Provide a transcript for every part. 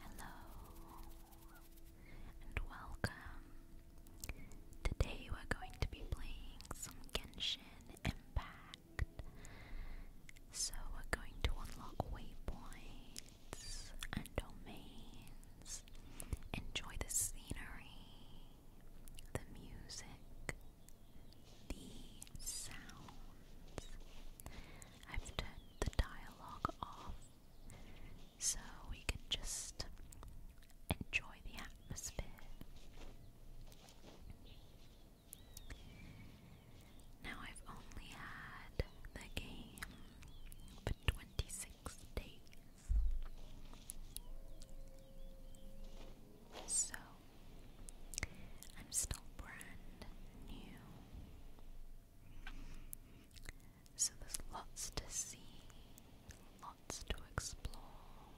Hello and welcome. Today we're going to be playing some Genshin Impact. So we're going to unlock waypoints and domains. Enjoy the scenery the music, the sounds. I've turned the dialogue off so we can just enjoy the atmosphere. Now I've only had the game for 26 six days. So, I'm still brand new. So, there's lots to see, lots to explore,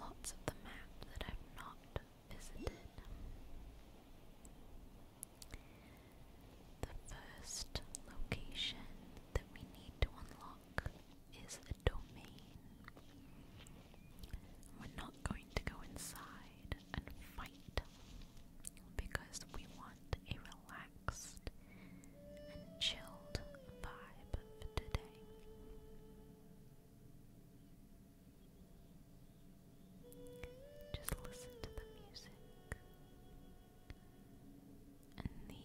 lots of the map that I've not visited. The first location that we need to unlock is the domain. We're not going to go inside and fight because we want a relaxed and chilled vibe for today. Just listen to the music and the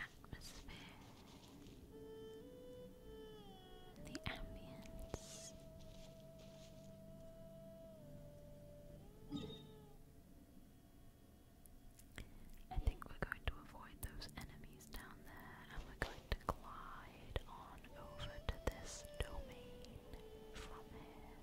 atmosphere, the ambience. I think we're going to avoid those enemies down there and we going to glide on over to this domain from here.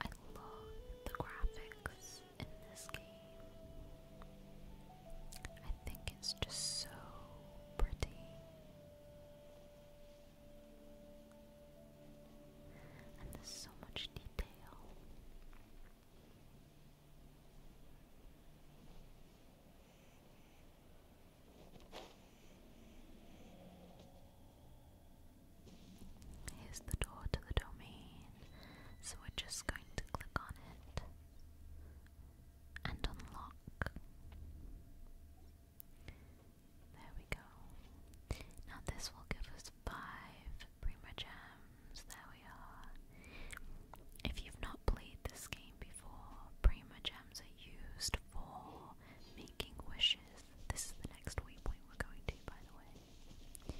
I love the graphics in this game. I think it's just so pretty. And there's so much detail. Here's the door to the domain, so we're just going to click on it and unlock. There we go. Now, this will give us five Prima Gem there we are. If you've not played this game before, Prima Gems are used for making wishes. This is the next waypoint we're going to, by the way.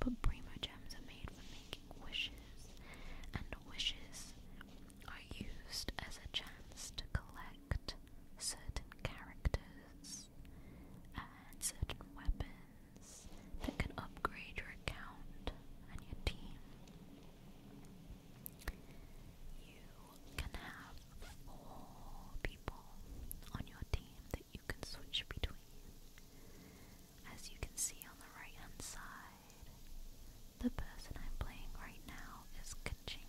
But Prima Gems are made for making wishes, and wishes are used as a chance to collect certain characters and certain weapons that can upgrade your account and your team. You can have four people on your team that you can switch between. As you can see on the right hand side, the person I'm playing right now is Kaching.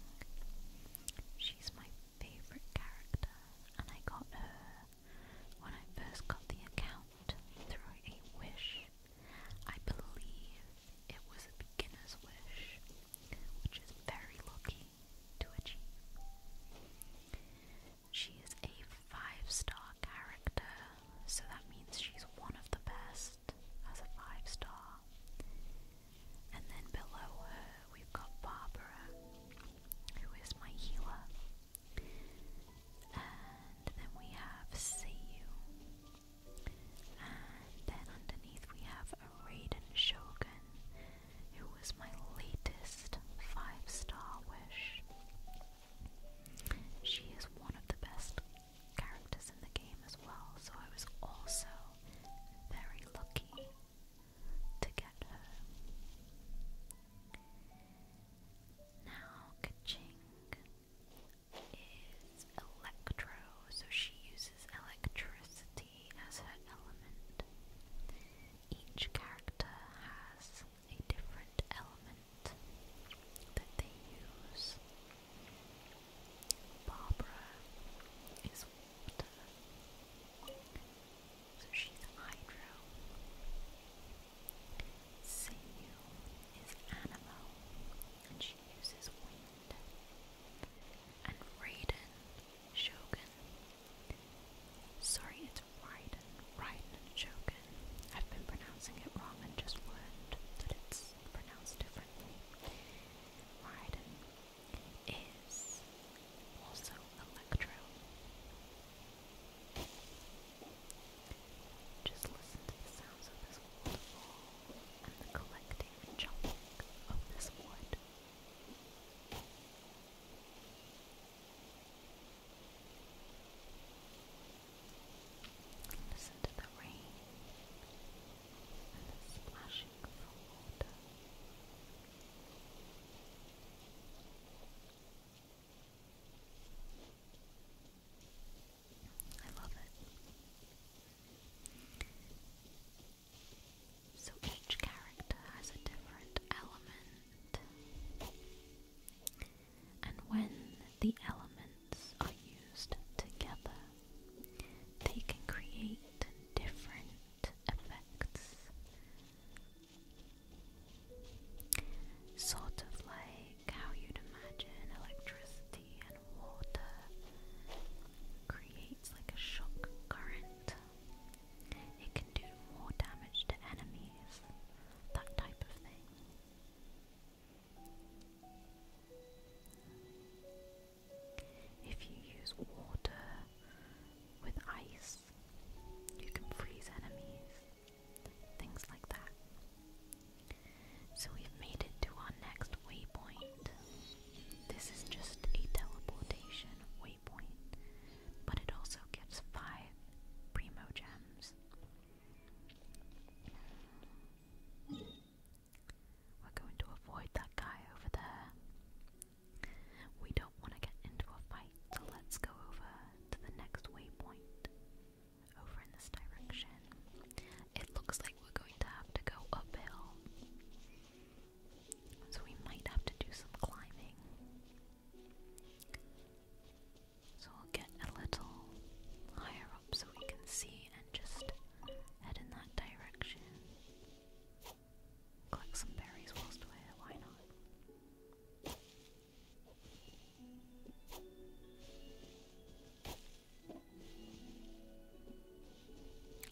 She's my favorite character, and I got her when I first got the account through a wish, I believe it was a beginner's wish, which is very lucky to achieve. She is a five star character, so that means she's one of the best as a five star. And then below her, we've got Barbara, who is my healer. And then we have See And then underneath we have Raiden Shogun, who was my latest five star wish. She is one of the best characters in the game as well, so I was also very lucky to get her. Now Kaching is electro, so she uses electricity as her element. Each character has a different element that they use. Barbara is water, so she's hydro. Sinew is animal, and she uses wind. And Raiden, Shogun. Sorry, it's Raiden. Raiden Shogun. I've been pronouncing it wrong and just learned that it's pronounced differently. Raiden is also Electro. Just listen to the sounds of this waterfall and the collecting and chopping of this wood. Listen to the rain and the splashing of water. I love it. So each character has a different element, and when the elements are used together, they can create different effects Sort of like how you'd imagine electricity and water creates like a shock current. It can do more damage to enemies, that type of thing. If you use water with ice, you can freeze enemies things like that. So we've made it to our next waypoint. This is just a teleportation waypoint, but it also gives five primo gems. We're going to avoid that guy over there. We don't want to get into a fight so let's go over to the next waypoint. Over in this direction. It looks like we're going to have to go uphill. So we might have to do some climbing. So we'll get a little higher up so we can see and just head in that direction. Collect some berries whilst we're here, why not?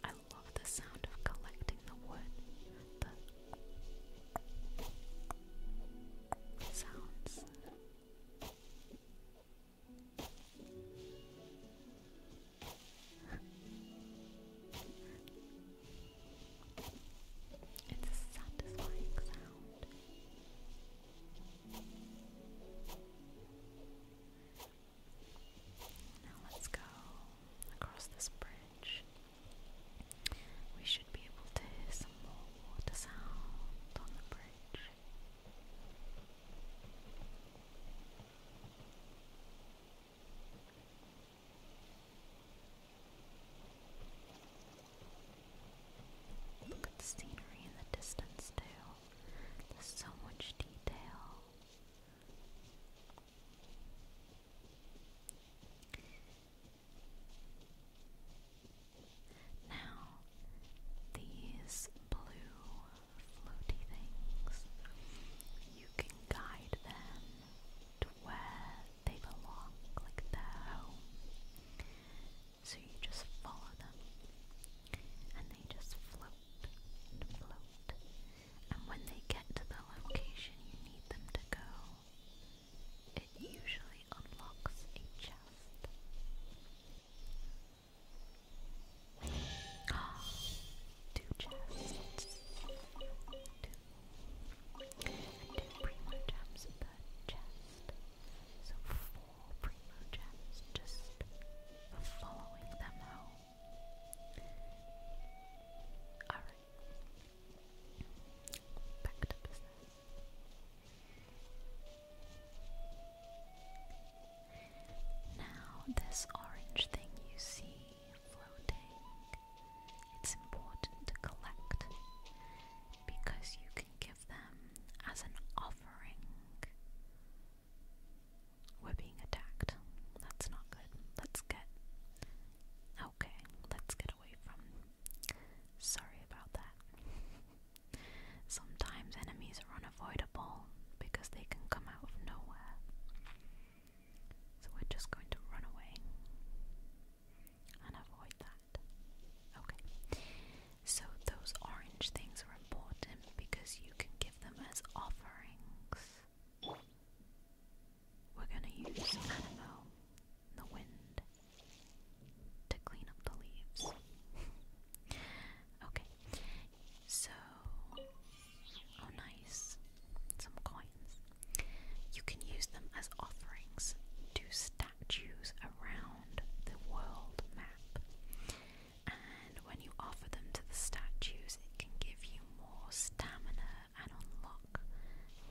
I love the sound of collecting the wood. The sounds. It's a satisfying sound. Now let's go across this bridge. We should be able to hear some more water sound on the bridge. Look at the scenery in the distance too. There's so much detail. Now, these blue floaty things, you can guide them to where they belong, like their home. So you just follow them, and they just float float. And when they get to the location you need them to go, it usually unlocks a chest. two chests and two primo gems per chest. So four primo gems just following them home. Alright. Back to business. Now, this orange thing you see floating, it's important to collect because you can give them as an offering. We're being attacked. That's not good. Let's get. Okay, let's get away from. Sorry about that. Sometimes enemies are unavoidable because they can come out of nowhere. So we're just going to run away and avoid that. Okay, so those orange things are important because you can give them as offerings. We're gonna use the wind, to clean the leaves. okay, so, oh nice, some coins. You can use them as offerings to statues around the world map. And when you offer them to the statues, it can give you more stamina and unlock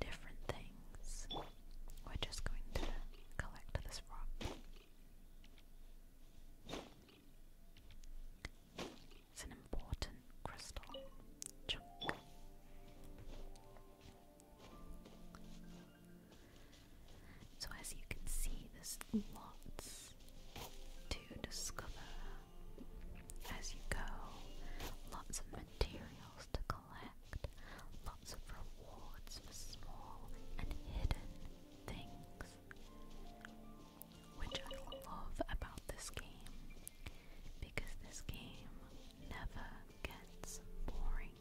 different things. We're just going to collect this rock. It's an important crystal chunk. So, as you can see, there's lots to discover as you go, lots of materials to collect, lots of rewards for small and hidden things, which I love about this game because this game never gets boring.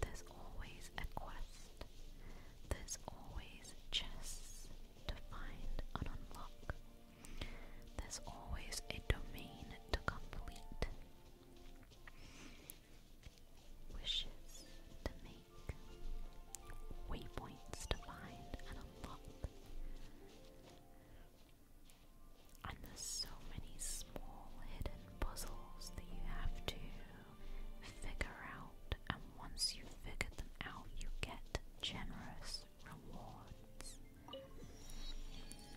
There's always a quest, there's always chests to find and unlock, there's always a domain to complete. Wishes to make, waypoints to find and unlock, and there's so many small hidden puzzles that you have to figure out, and once you've figured them out, you get generous rewards.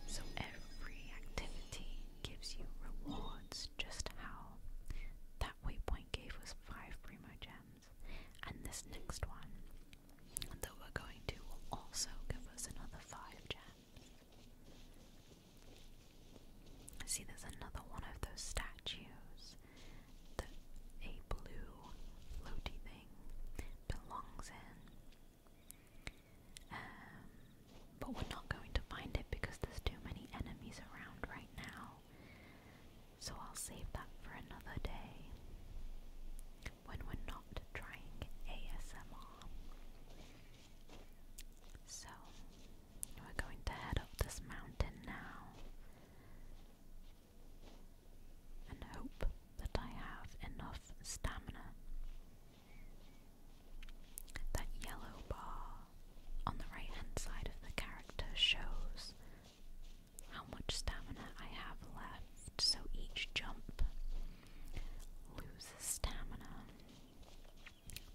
So every activity gives you rewards, just how that waypoint gave us five primo gems, and this next one that we're going to will also give us another five gems. I See, there's another one of those statues. that a blue floaty thing belongs in. Um, but we're not going to find it because there's too many enemies around right now. So I'll save that for another day when we're not trying ASMR. So, we're going to head up this mountain now and hope that I have enough stamina. That yellow bar on the right hand side of the character shows how much stamina I have left, so each jump loses stamina,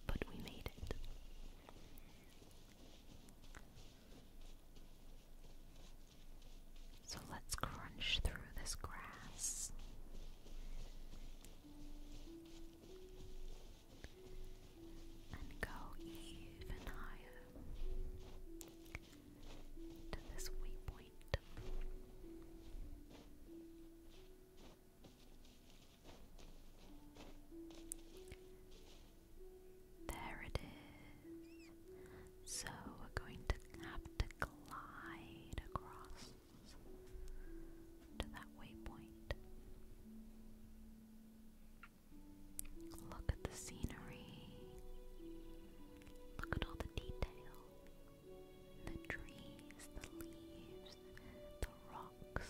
but we made it. So let's crunch through this grass. And go even higher to this waypoint. There it is. So we're going to have to glide across to that waypoint. Look at the scenery. Look at all the detail. The trees, the leaves, the rocks.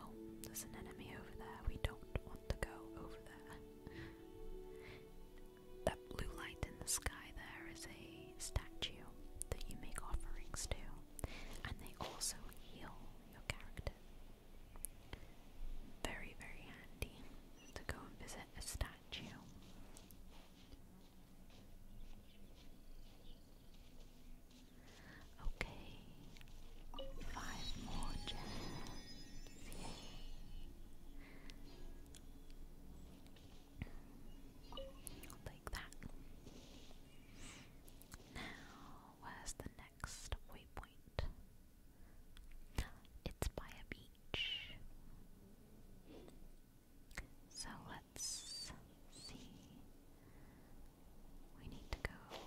Oh, there's an enemy over there. We don't want to go over there. That blue light in the sky there is a statue that you make offerings to, and they also heal your character. Very, very handy to go and visit a statue at you. Okay, five more gems. Yay. that. Now, where's the next waypoint? It's by a beach. So let's see. We need to go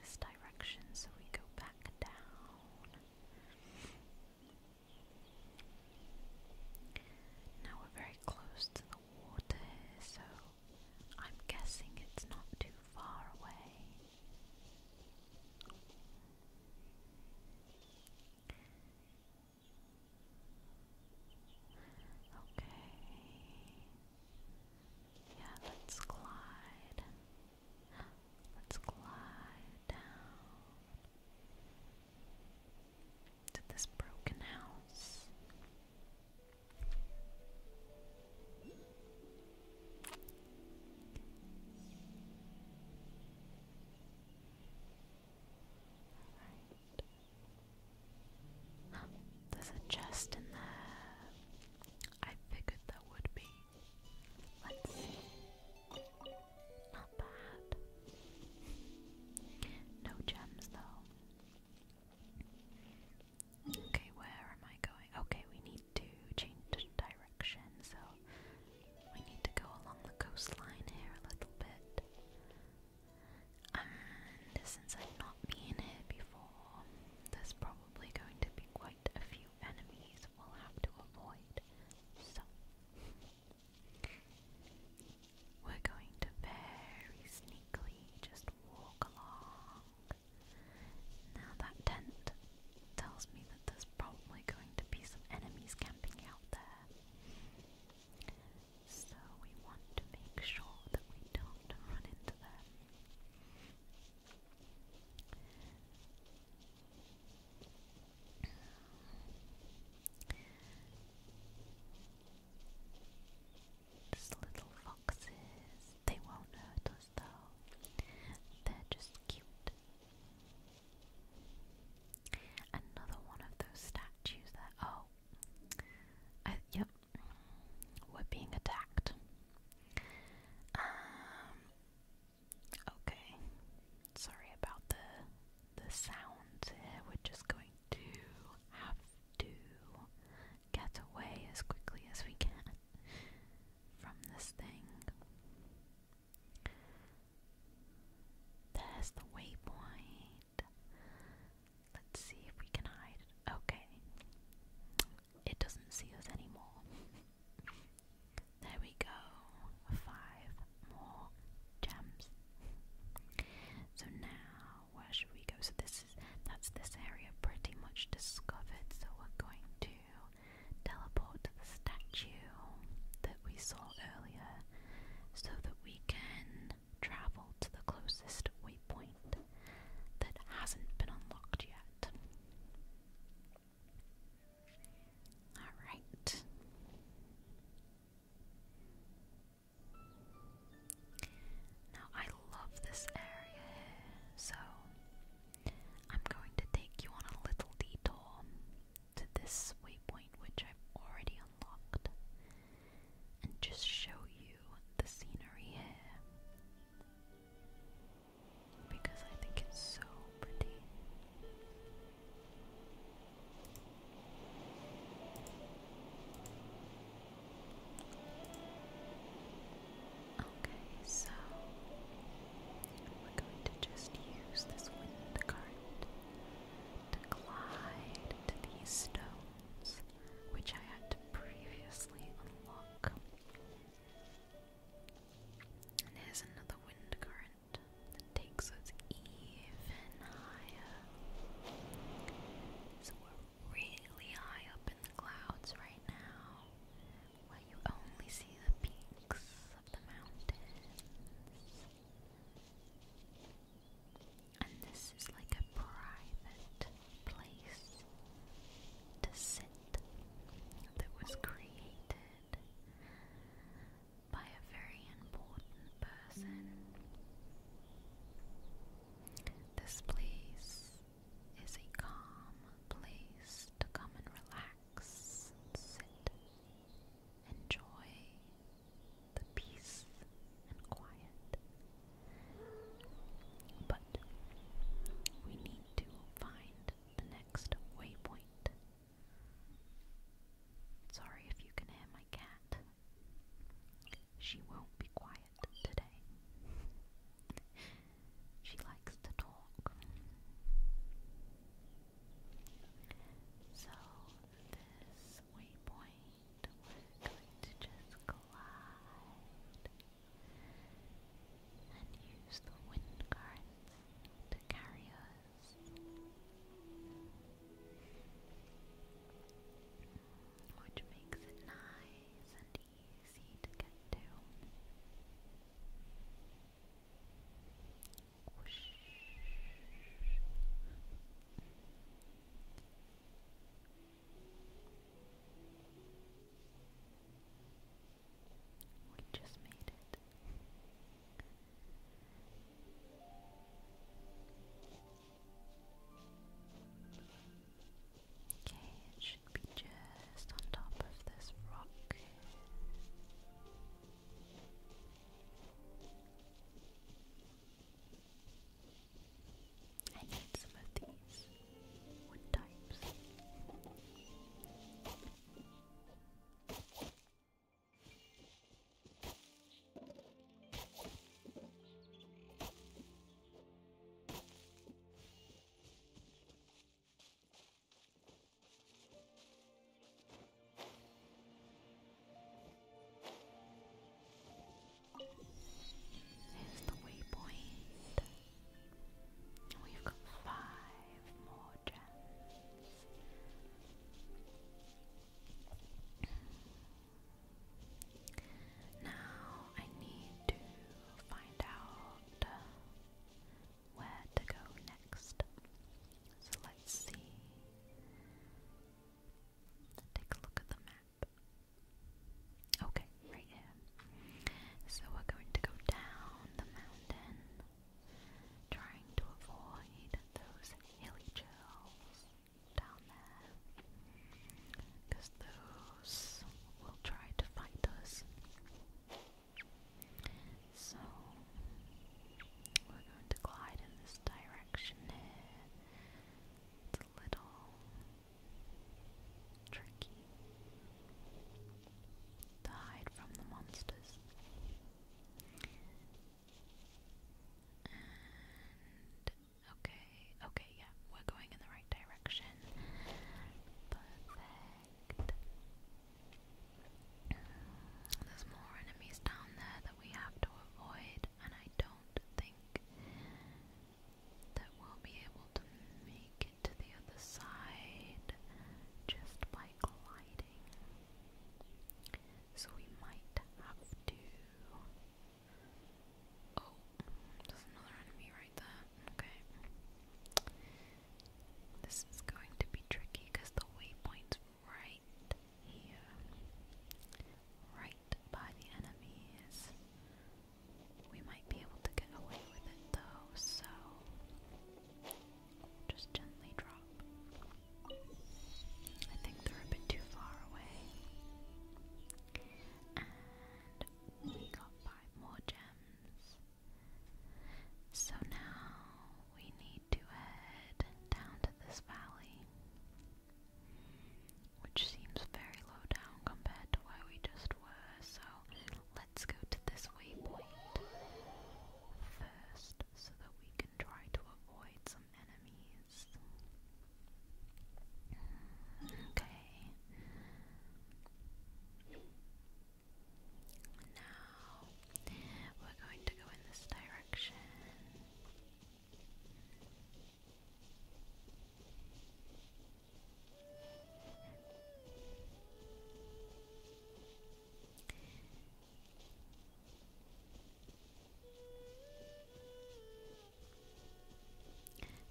this direction, so we go back down. Now we're very close to the water, so I'm guessing it's not too far away. Okay. Yeah, let's glide. Let's glide down to this broken house there's a chest in there. I figured there would be. Let's see. Not bad. No gems though. Okay, where am I going? Okay, we need to change direction, so we need to go along the coastline here a little bit. And since I've not been here before, there's probably going to be quite a few enemies we'll have to avoid. So, we're going to very sneakily just walk along. Now, that tent tells me that there's probably going to be some enemies camped out there. So we want to make sure that we don't run into them. Just little foxes. They won't hurt us though. They're just cute. Another one of those statues there. Oh, I, yep, we're being attacked. Um, okay, sorry about the the sound We're just going to have to get away as quickly as we can from this thing. There's the waypoint. Let's see if we can hide it. Okay. It doesn't see us anymore. There we go. Five more gems. So now, where should we go? So this is that's this area pretty much discovered. So we're going to teleport to the statue that we saw earlier so that we can travel to the closest waypoint that hasn't been unlocked yet. Alright. Now I love this area here, so I'm going to take you on a little detour to this waypoint which I've already unlocked and just show you the scenery here because I think it's so pretty. Okay, so we're going to just use this wind current to glide to these stones, which I had to previously unlock. And here's another wind current that takes us even higher. So we're really high up in the clouds right now, where you only see the peaks of the mountains. And this is like a private place to sit that was created by a very important person. This place is a calm place to come and relax, sit, enjoy the peace and quiet. But we need to find the next waypoint. Sorry if you can hear my cat. She won't be quiet today. she likes to talk. So this waypoint we going to just glide and use the wind currents to carry us. Which makes it nice and easy to get to. Whoosh. We just made it. Okay, it should be just on top of this rock. I need some of these wood types. Here's the waypoint. We've got five more gems. Now I need to find out where to go next. So let's see. Take a look at the map. Okay, right here. So we're going to go down the mountain, trying to avoid those hilly chills down there. Because those will try to fight us. So we're going to glide in this direction here. It's a little tricky to hide from the monsters. And okay, okay, yeah, we're going in the right direction. But Perfect. There's more enemies down there that we have to avoid, and I don't think that we'll be able to make it to the other side just by gliding. So we might have to. Oh, there's another enemy right there. Okay. This is going to be tricky because the waypoint's right here. Right by the enemies. We might be able to get away with it though, so just gently drop. I think they're a bit too far away. And we got five more gems. So now we need to head down to this valley, which seems very low down compared to where we just were, so let's go to this waypoint first so that we can try to avoid some enemies. Okay. Now we're going to go in this direction.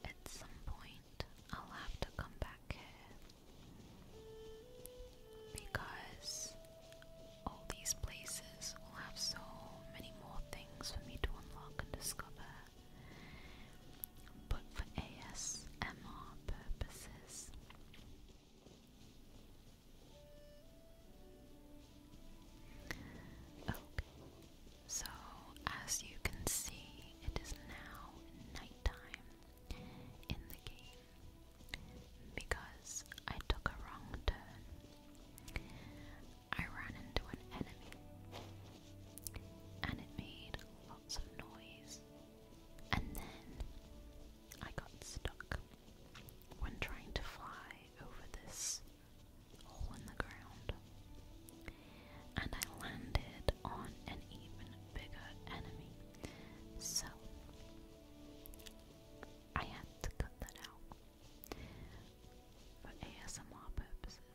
At some point, I'll have to come back because all these places will have so many more things for me to unlock and discover. But for ASMR purposes, okay. So, as you can see, it is now nighttime in the game because I took a wrong turn. I ran into an enemy, and it made lots of noise, and then I got stuck when trying to fly over this hole in the ground. And I landed on an even bigger enemy. So I had to cut that out for ASMR purposes.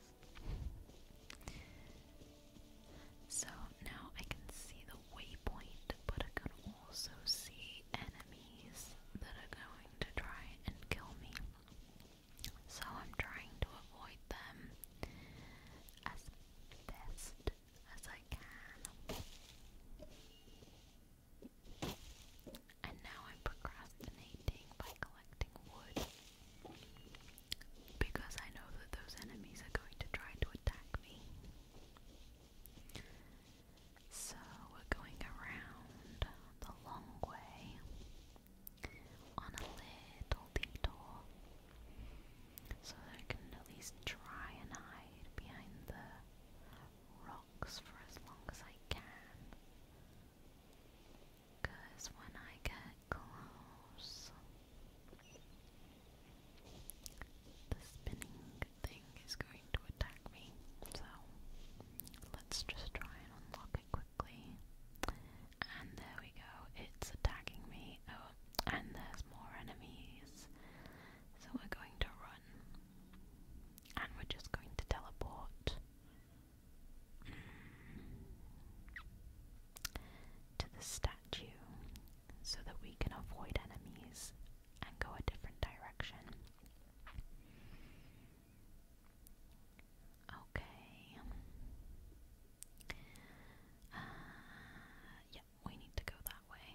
So now I can see the waypoint, but I can also see enemies that are going to try and kill me. So I'm trying to avoid them as best as I can. And now I'm procrastinating by collecting wood. Because I know that those enemies are going to try to attack me. So we're going around the long way on a little detour so that it can at least try and hide behind the rocks for as long as I can. Because when I get close, the spinning thing is going to attack me. So let's just try and unlock it quickly. And there we go, it's attacking me. Oh, and there's more enemies. So we're going to run. And we're just going to teleport hmm. to the statue so that we can avoid enemies and go a different direction. Okay. Uh, yeah, we need to go that way.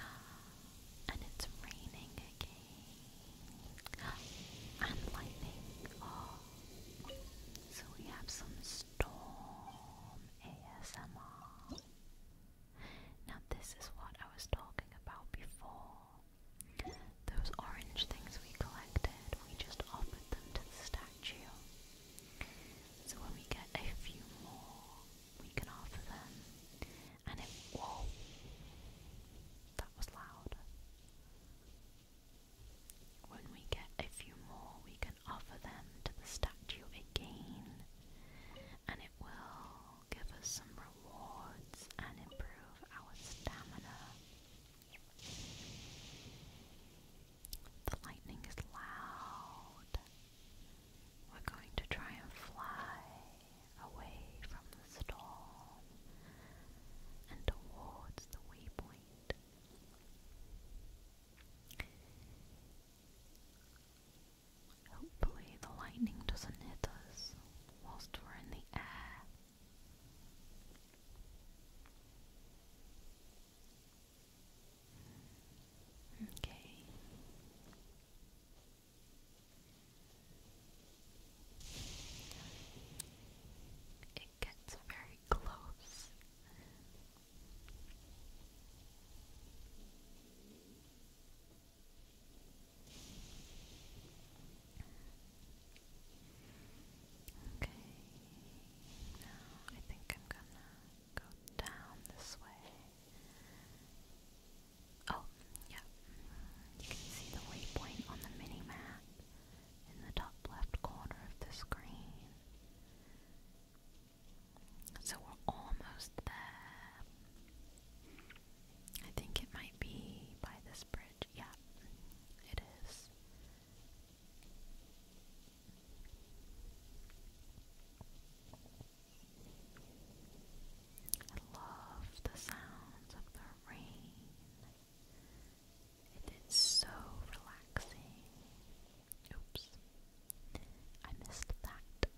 Alright. And it's raining again. And lightning. Oh. So we have some storm ASMR. Now, this is what I was talking about before. Those orange things we collected, we just offered them to the statue. So when we get a few more, we can offer them. And it. Whoa! That was loud. When we get a few more, we can offer them to the statue again. And it will give us some rewards and improve our stamina. The lightning is loud. We're going to try and fly away from the storm and towards the waypoint. Hopefully, the lightning doesn't hit us whilst we're in the air. Okay. It gets very close. Okay, now I think I'm gonna go down this way. Oh, yeah. You can see the waypoint on the mini map in the top left corner of the screen. So we're almost there. I think it might be by this bridge. Yeah, it is. I love the sounds of the rain. It is so relaxing. Oops. I missed that.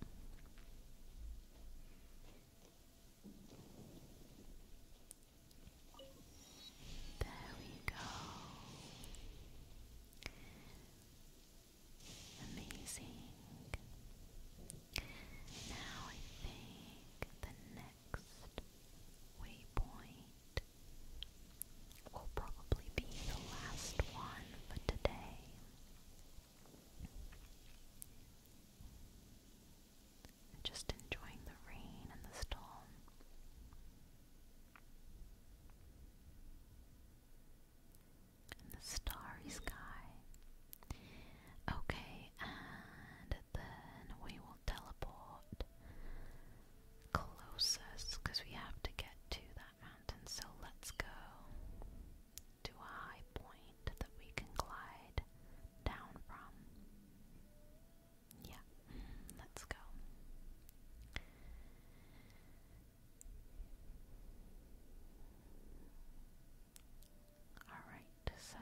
There we go. Amazing. Now I think the next waypoint will probably be the last one for today and just enjoying the rain and the storm. And the starry sky. Okay, and then we will teleport closest because we have to get to that mountain. So let's go to a high point that we can glide down from. Yeah, mm, let's go. Alright, so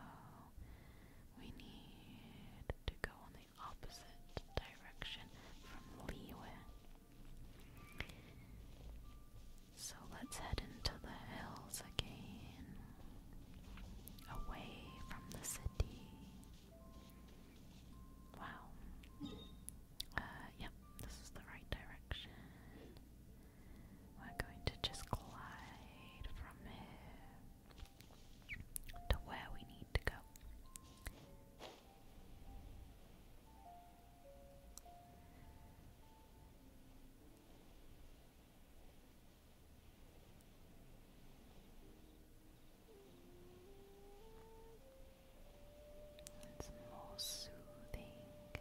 we need to go in the opposite direction from Liyue. So let's head into the hills again, away from the city. Wow. Uh, yep, this is the right direction. We're going to just glide from here to where we need to go. It's more soothing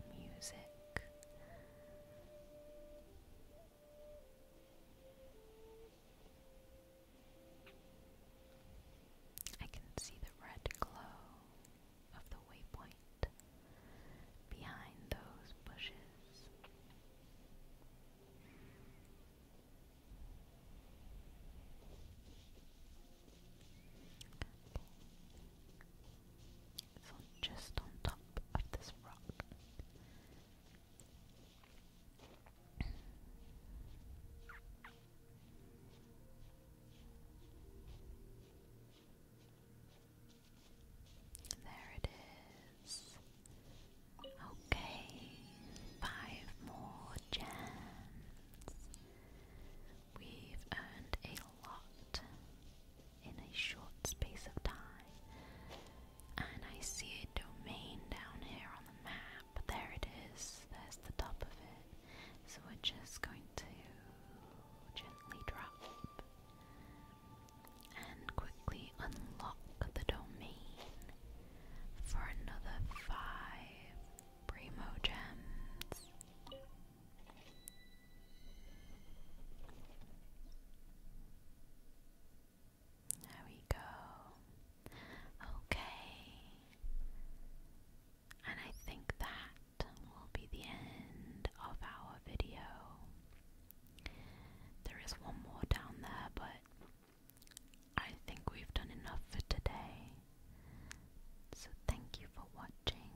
music. I can see the red glow of the waypoint behind those bushes just on top of this rock. There it is. Okay, five more gems. We've earned a lot in a short space of time. And I see a domain down here on the map. There it is. There's the top of it. So we're just going to gently drop and quickly unlock the domain for another five primo gems. There we go. Okay. And I think that will be the end of our video. There is one more down there, but I think we've done enough for today. So thank you for watching.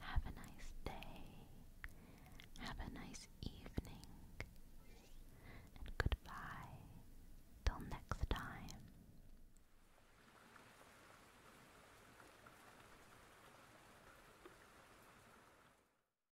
Have a nice day. Have a nice evening. And goodbye. Till next time.